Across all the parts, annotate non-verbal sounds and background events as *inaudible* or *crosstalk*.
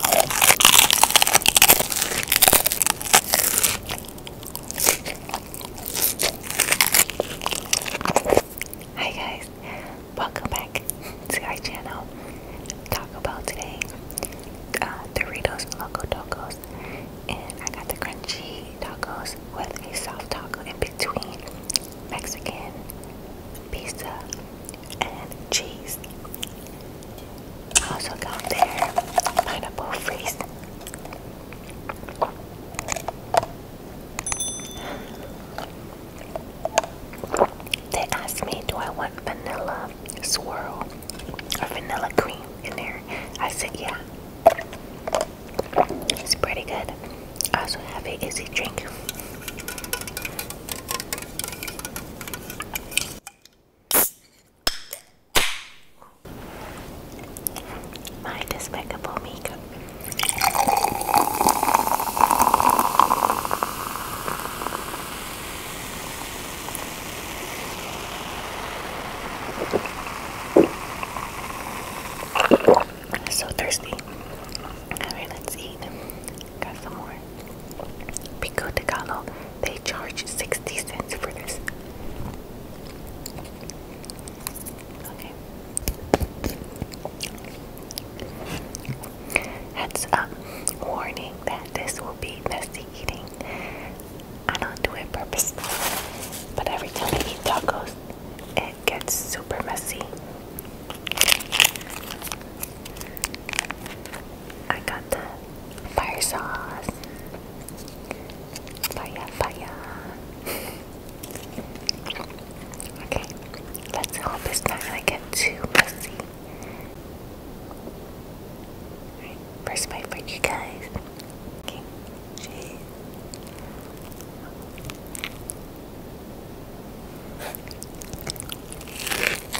Hi guys, welcome back to our channel. Talk about today, uh, Doritos Loco Tacos, and I got the crunchy tacos with a soft taco in between, Mexican pizza and cheese. Also got their pineapple freeze. They asked me, do I want vanilla swirl or vanilla cream in there? I said, yeah. It's pretty good. I also have a easy drink. My despicable makeup. So thirsty. Alright, let's eat. Got some more Pico de Gallo, they charge 60 cents for this. Heads up, warning that this will be messy eating. I don't do it purposely, but every time I eat tacos, it gets super messy. I got the fire sauce. Fire, fire. okay, let's hope it's not gonna get too messy. first bite for you guys. Okay, cheese.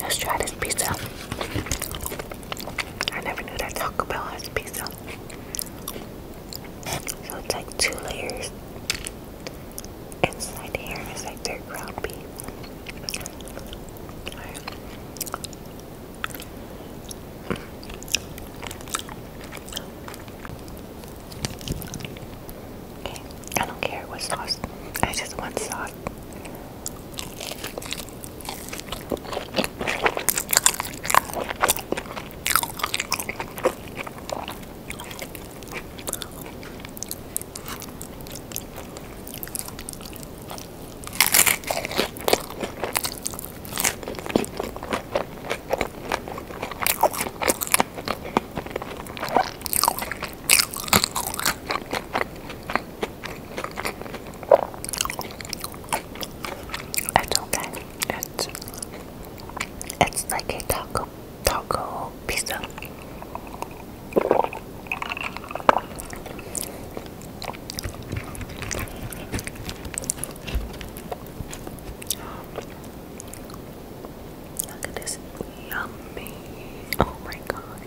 Let's try this pizza. I never knew that Taco Bell has pizza. So it's like two layers. Inside here is like their ground beef. Okay, I don't care what sauce. I just want sauce. It's okay. It's it's like a taco taco pizza. Look at this yummy. Oh my god.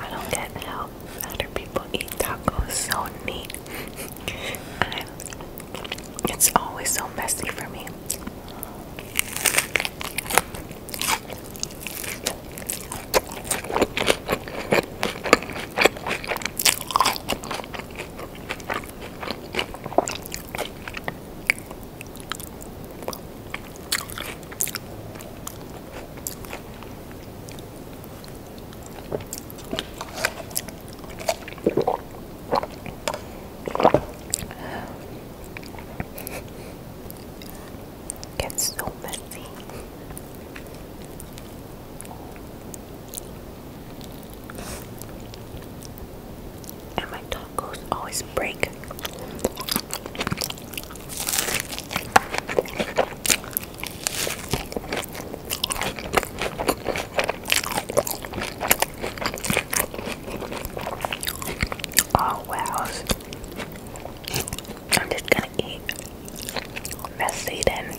I don't get how other people eat tacos so neat. *laughs* it's always so messy for me. Gets so messy and my tacos always break. Oh wow. I'm just gonna eat messy then.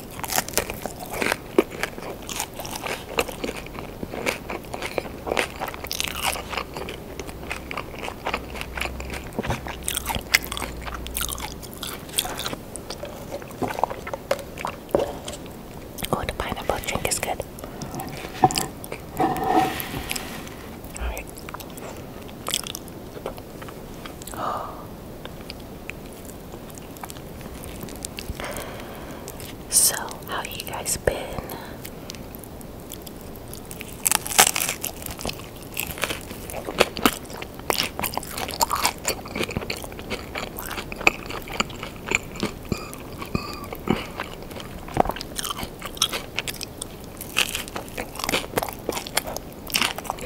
Oh, the pineapple drink is good. So, how you guys been?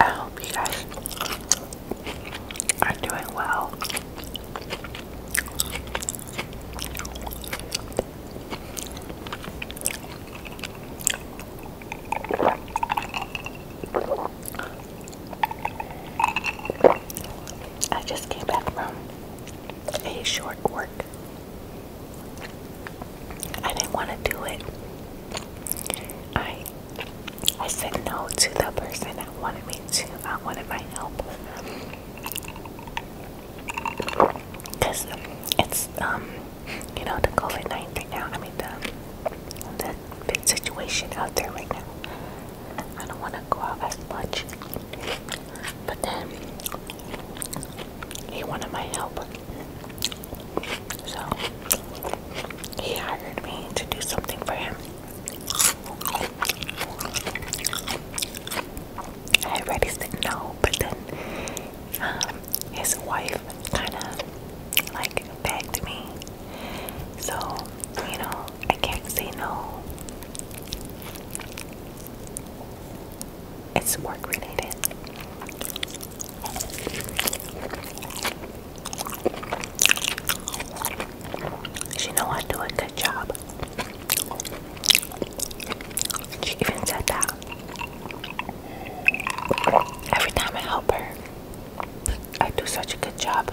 I hope you guys are doing well. I just came back from a short work I didn't want to do it. I I said no to the person that wanted me to. I wanted my help. Cause it's um you know the COVID nineteen now. I mean the the situation out there right now. I don't want to go out as much. But then he wanted my help. So he hired me to do something for him. I already said no, but then um, his wife kind of like begged me. So, you know, I can't say no it's work related. She know I do a good job. She even said that. Every time I help her, I do such a good job.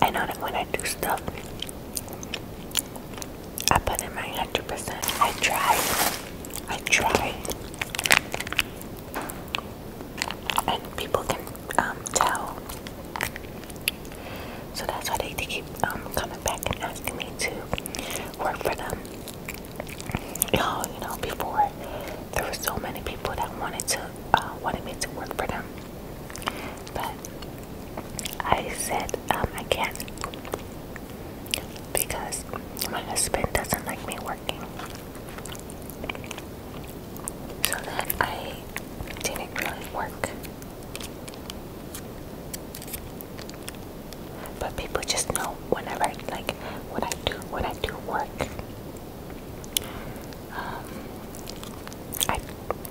I know that when I do stuff, I put in my 100%. I try. I try. And people can um, towel. So that's why they, keep um, coming back and asking me to work for them. Oh, you know, before there were so many people that wanted to uh, wanted me to work for them, but I said um, I can't because my husband doesn't like me working so that I didn't really work. But people just know whenever, like, when I do, when I do work, um, I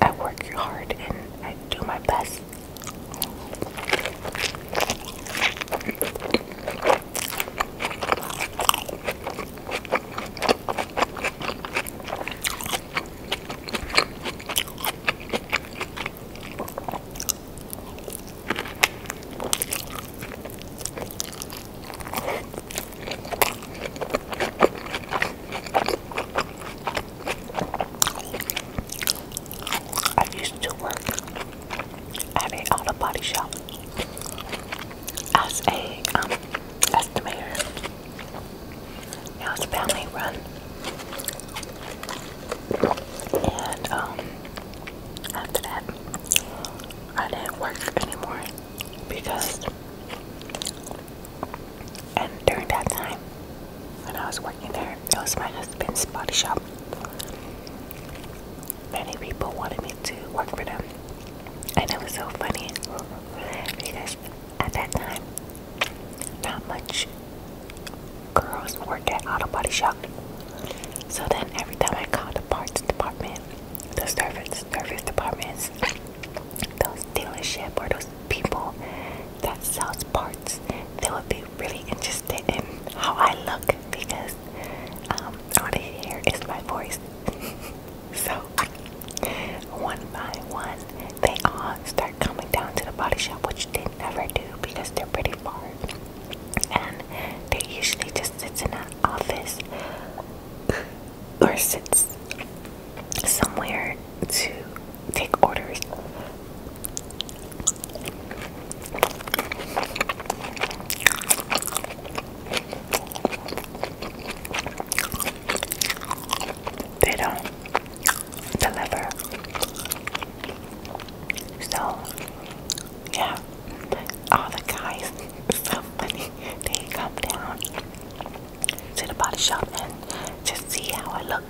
I work hard and I do my best. I used to work at an auto body shop as a um, estimator. Now it's family run. And um after that I didn't work anymore because and during that time when I was working there, it was my husband's body shop. Many people wanted me to work for them. And it was so funny because at that time, not much girls worked at Auto Body Shop. So then every time I called the parts department, the service service departments, those dealership or those people that sells parts, they would be really interested in how I look because um, all they hear is my voice. *laughs* So, one by one, they all start coming down to the body shop, which they never do because they're pretty far. And they usually just sits in an office or sits somewhere to take orders. They don't deliver. So, yeah, all the guys, so funny, they come down to the body shop and just see how I look.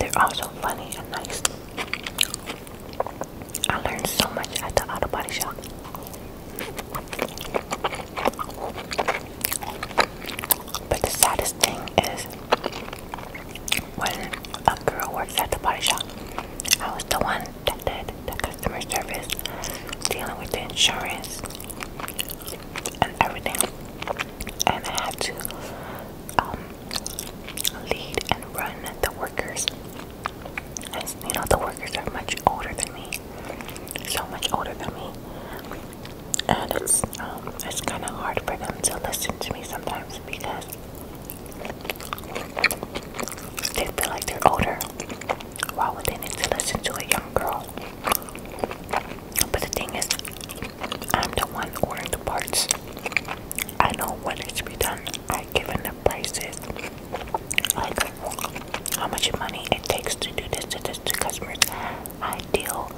They're all so funny and nice. I learned so much at the auto body shop. But the saddest thing is when a girl works at the body shop, I was the one that did the customer service, dealing with the insurance and everything. And I had to um, lead and run the workers. and you know, the workers are much older than me, so much older than me, and it's um, it's kind of hard for them to listen to me sometimes because they feel like they're older. Why would they need to listen to a young girl? But the thing is, I'm the one ordering the parts. I know what needs to be done. I given the prices, like how much money it takes to do this to this to customers. I deal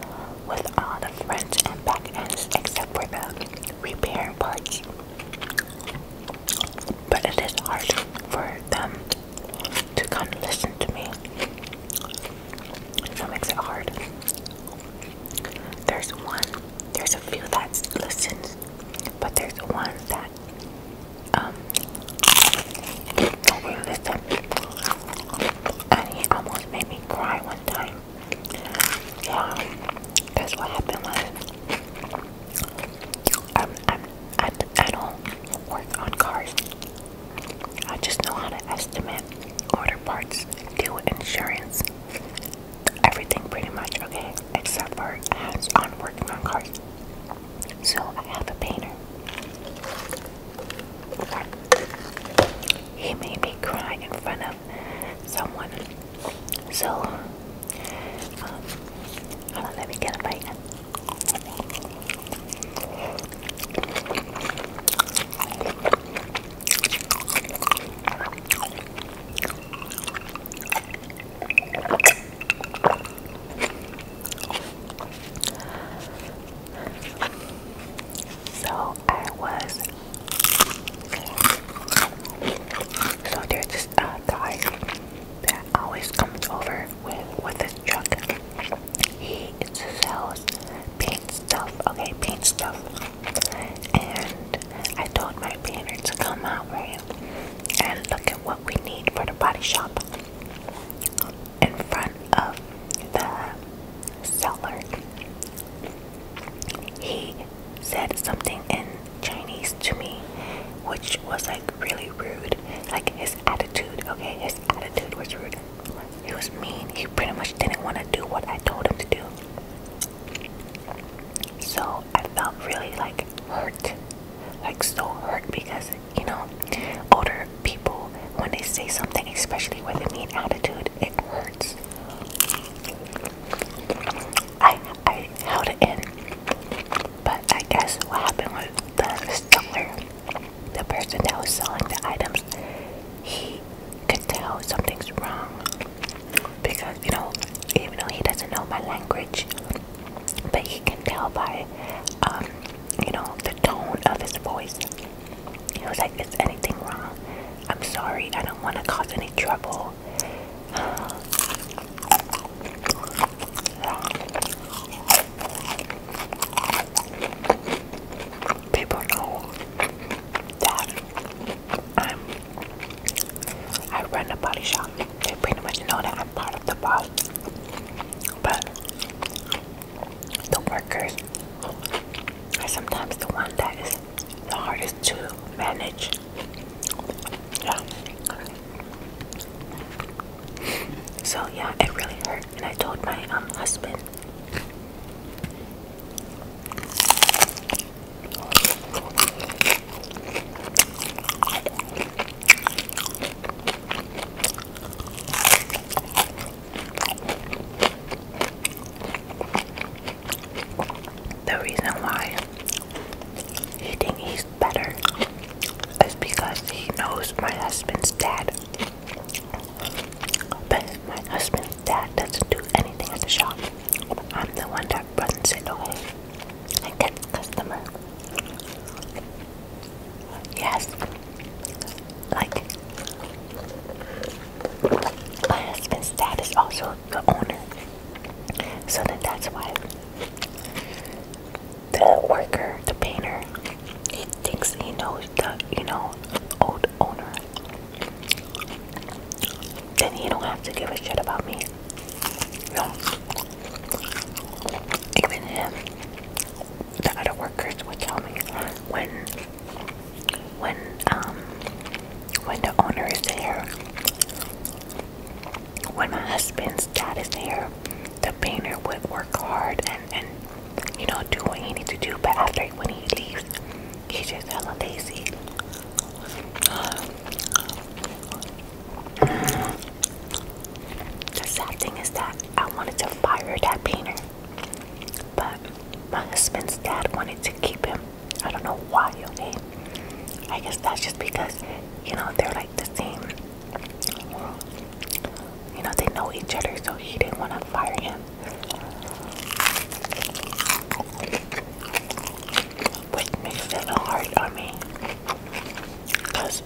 with all the fronts and back ends except for the repair parts. But it is hard for them to kind of listen to me. That makes it hard. There's one, there's a few that listens, but there's one that um don't really listen. And he almost made me cry one time. Yeah, that's what happened was I'm, um, I'm, I, I don't work on cars. I just know how to estimate, order parts, do insurance, everything pretty much okay except for hands on working on cars. So I have a painter. He made me cry in front of someone. So um, hold on, let me get a bite. So I was. So there's this uh, guy that always comes over with with his truck. He sells paint stuff. Okay, paint stuff. And I told my painter to come out, right? And look at what we need for the body shop in front of the seller. He said something in Chinese to me, which was like really rude. Like his attitude, okay? His attitude was rude. He was mean. He pretty much didn't want to do what I told him to do. So I felt really like hurt, like so hurt because you know, older people when they say something, especially with a mean attitude, it hurts. I I held it in, but I guess what happened was the seller, the person that was selling the items, he could tell something's wrong because you know even though he doesn't know my language but he can tell by um, you know the tone of his voice he was like is anything wrong i'm sorry i don't want to cause any trouble *sighs* people know that um, I run a body shop. They pretty much know that I'm part of the boss, but the workers are sometimes the one that is the hardest to manage. Yeah. So yeah, it really hurt, and I told my um husband. The reason why he thinks he's better is because he knows my husband's dad. But my husband's dad doesn't do anything at the shop. I'm the one that runs it I and gets customer. Yes. Like my husband's dad is also the owner. So then that's why the worker, the painter, he thinks he knows the you know old owner then you don't have to give a shit about me. Even if the other workers would tell me when when um when the owner is there, when my husband's dad is there, the painter would work hard and, and you know, do what he needs to do. But after when he leaves, he just hella lazy. The sad thing is that I wanted to fire that painter, but my husband's dad wanted to keep him. I don't know why, okay? I guess that's just because, you know, they're like the same. You know, they know each other, so he didn't want to fire him which makes it hard on me because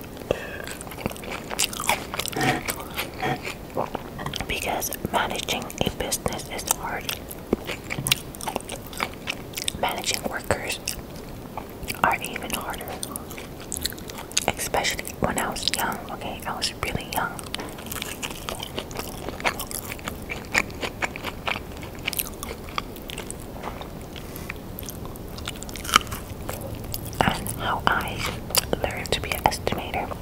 because managing a business is hard managing workers are even harder especially when I was young okay I was and how I learned to be an estimator.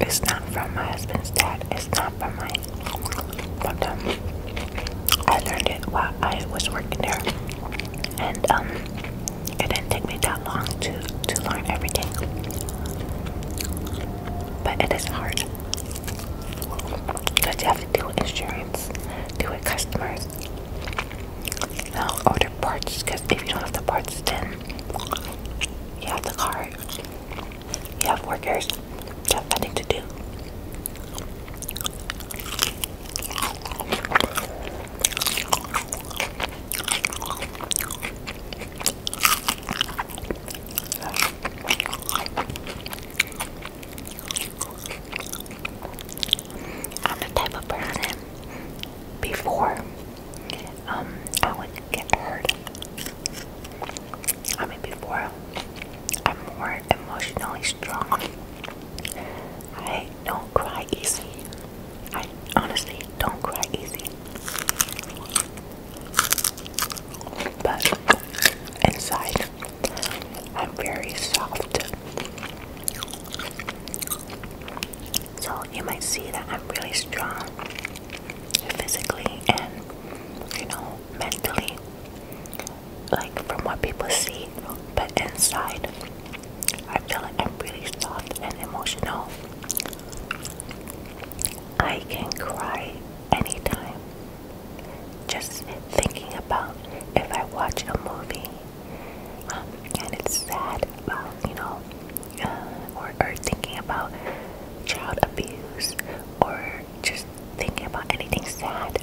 It's not from my husband's dad. It's not from my but I learned it while I was working there. And um it didn't take me that long to to learn everything. But it is hard. Because you have to deal with insurance, deal with customers. Now order parts because if you don't have the parts then you have the car. You have workers. You have nothing to do. I'm the type of person before um I would get hurt. I mean before I'm more emotionally strong. I don't cry easy. I honestly don't cry easy. But inside, I'm very soft. So you might see that I'm really strong physically and, you know, mentally. Like from what people see, but inside, I feel like I'm really soft and emotional. I can cry anytime. Just thinking about if I watch a movie um, and it's sad you know, uh, or, or thinking about child abuse or just thinking about anything sad,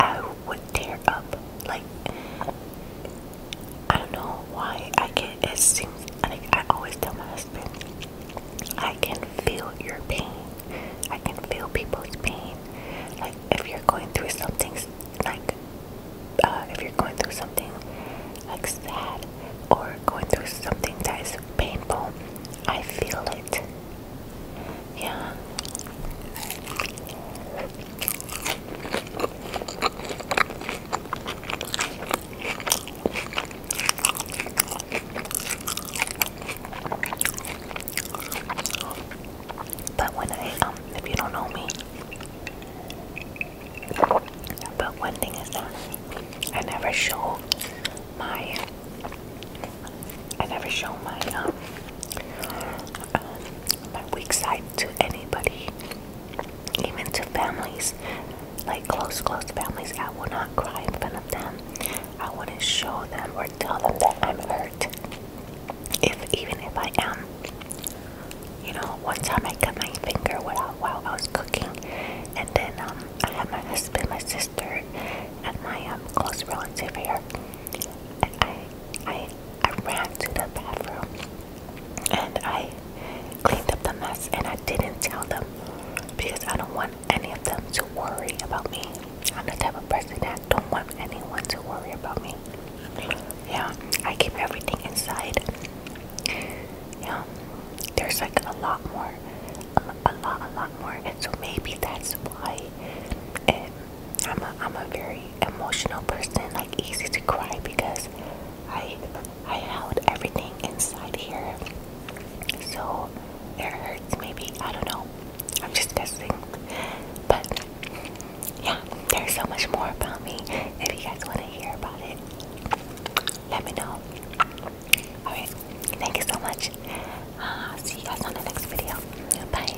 I would tear up. Like, I don't know why I can't. It seems like I always tell my husband, I can feel your pain. I can feel people's pain. Like if you're going through something, like uh, if you're going through something like sad or going through something that is painful, I feel it. Yeah. But when I, um, if you don't know me, but one thing is that I never show my, I never show my, um, uh, my weak side to anybody even to families, like close, close families. I will not cry in front of them. I wouldn't show them or tell them that I'm hurt. If even if I am, you know, one time I cut my finger while while I was cooking, and then um, I had my husband, my sister, and my um, close relative here. And I I I ran to the bathroom and I cleaned up the mess and I didn't tell them because I don't want any of them to worry about me. I'm the type of person that don't want anyone to worry about me. Yeah, I keep everything inside. Yeah, there's like a lot more, a, lot, a lot more, and so maybe that's why um, I'm a, I'm a very emotional person, like easy to cry because I I held everything inside here. So it hurts maybe. I don't know. I'm just guessing. But yeah, there's so much more about me. If you guys want to hear about it, let me know. Alright, thank you so much. Uh, see you guys on the next video. Bye.